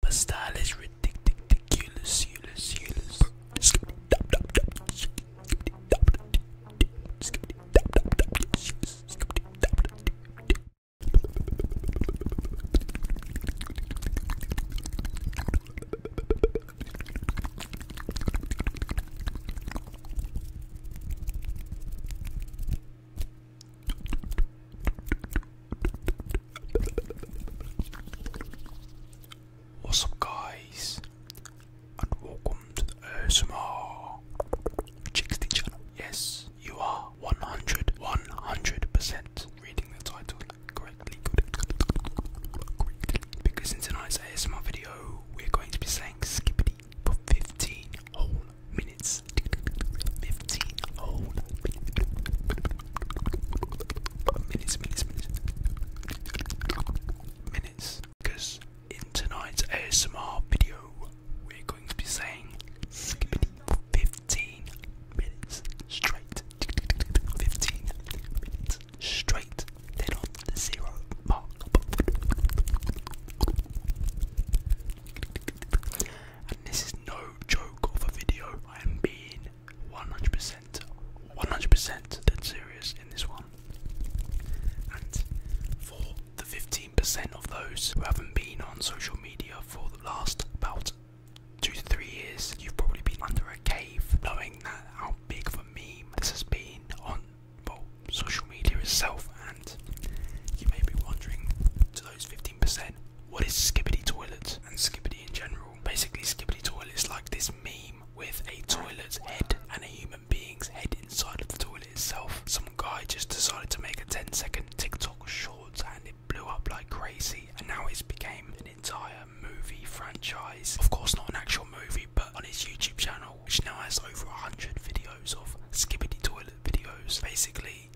But style is ridiculous, ridiculous. What's up, guys? And welcome to ASMR Chicksty channel. Yes, you are 100, 100% reading the title correctly. correctly. Because in tonight's ASMR video, we're going to be saying skippity for 15 whole minutes. 15 minutes, minutes, minutes, minutes. Because in tonight's ASMR video, we're going to be saying 15 minutes straight. 15 minutes straight. Then on the zero mark. And this is no joke of a video. I am being 100%, 100% dead serious in this one. And for the 15% of those who haven't been on social media for the last about two to three years, you've probably been under a cave knowing that how big of a meme this has been on social media itself. And you may be wondering to those 15%, what is Skibbity Toilet and Skibbity in general? Basically, Skibbity toilets is like this meme with a toilet's head and a human being's head inside of the toilet itself. Some guy just decided to make a 10 second TikTok short and it blew up like crazy, and now it's became an entire movie franchise. Of course, not an actual movie, but on his YouTube channel, which now has over 100 videos of Skibbity Toilet videos. Basically,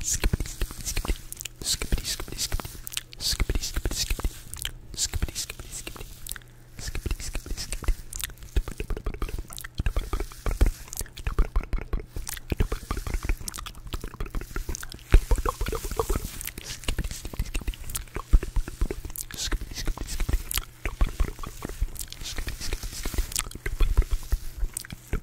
Skippity, skippity, skippity, skippity, skippity, skippity, skippity, skippity, skippity, skippity, skippity, skippity, skippity, skippity.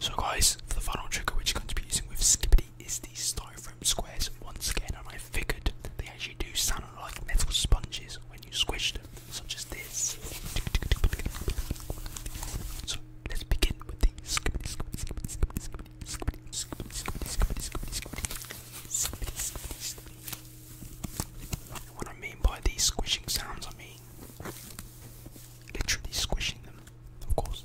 So guys, for the final trick which you're going to be using with Skippity is the styrofoam from squares once again, and I figured they actually do sound like metal sponges when you squish them, such as this. So let's begin with the scoopity scoopity scoopity scoopity scoopity scoopity scoopity scoopity scoopity scoopity What I mean by these squishing sounds, I mean literally squishing them, of course.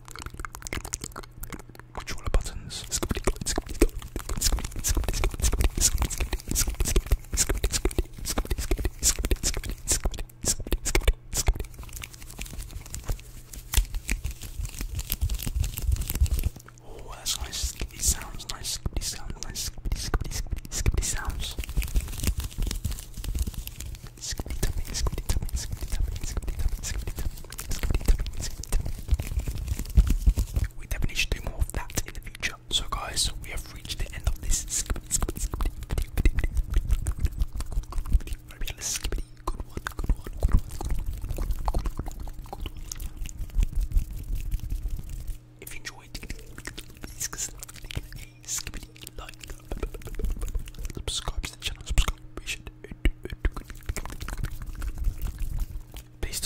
Which all the buttons? Oh, that's nice. These sounds, nice. These sounds, nice. These sounds. We definitely should do more of that in the future. So, guys, we have reached the end of this If you enjoyed, please click skibbity, like, subscribe to the channel, subscribe, we should,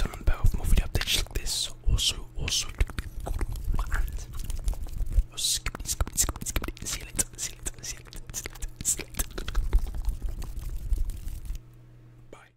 on the bell for more video updates like also, also, bye.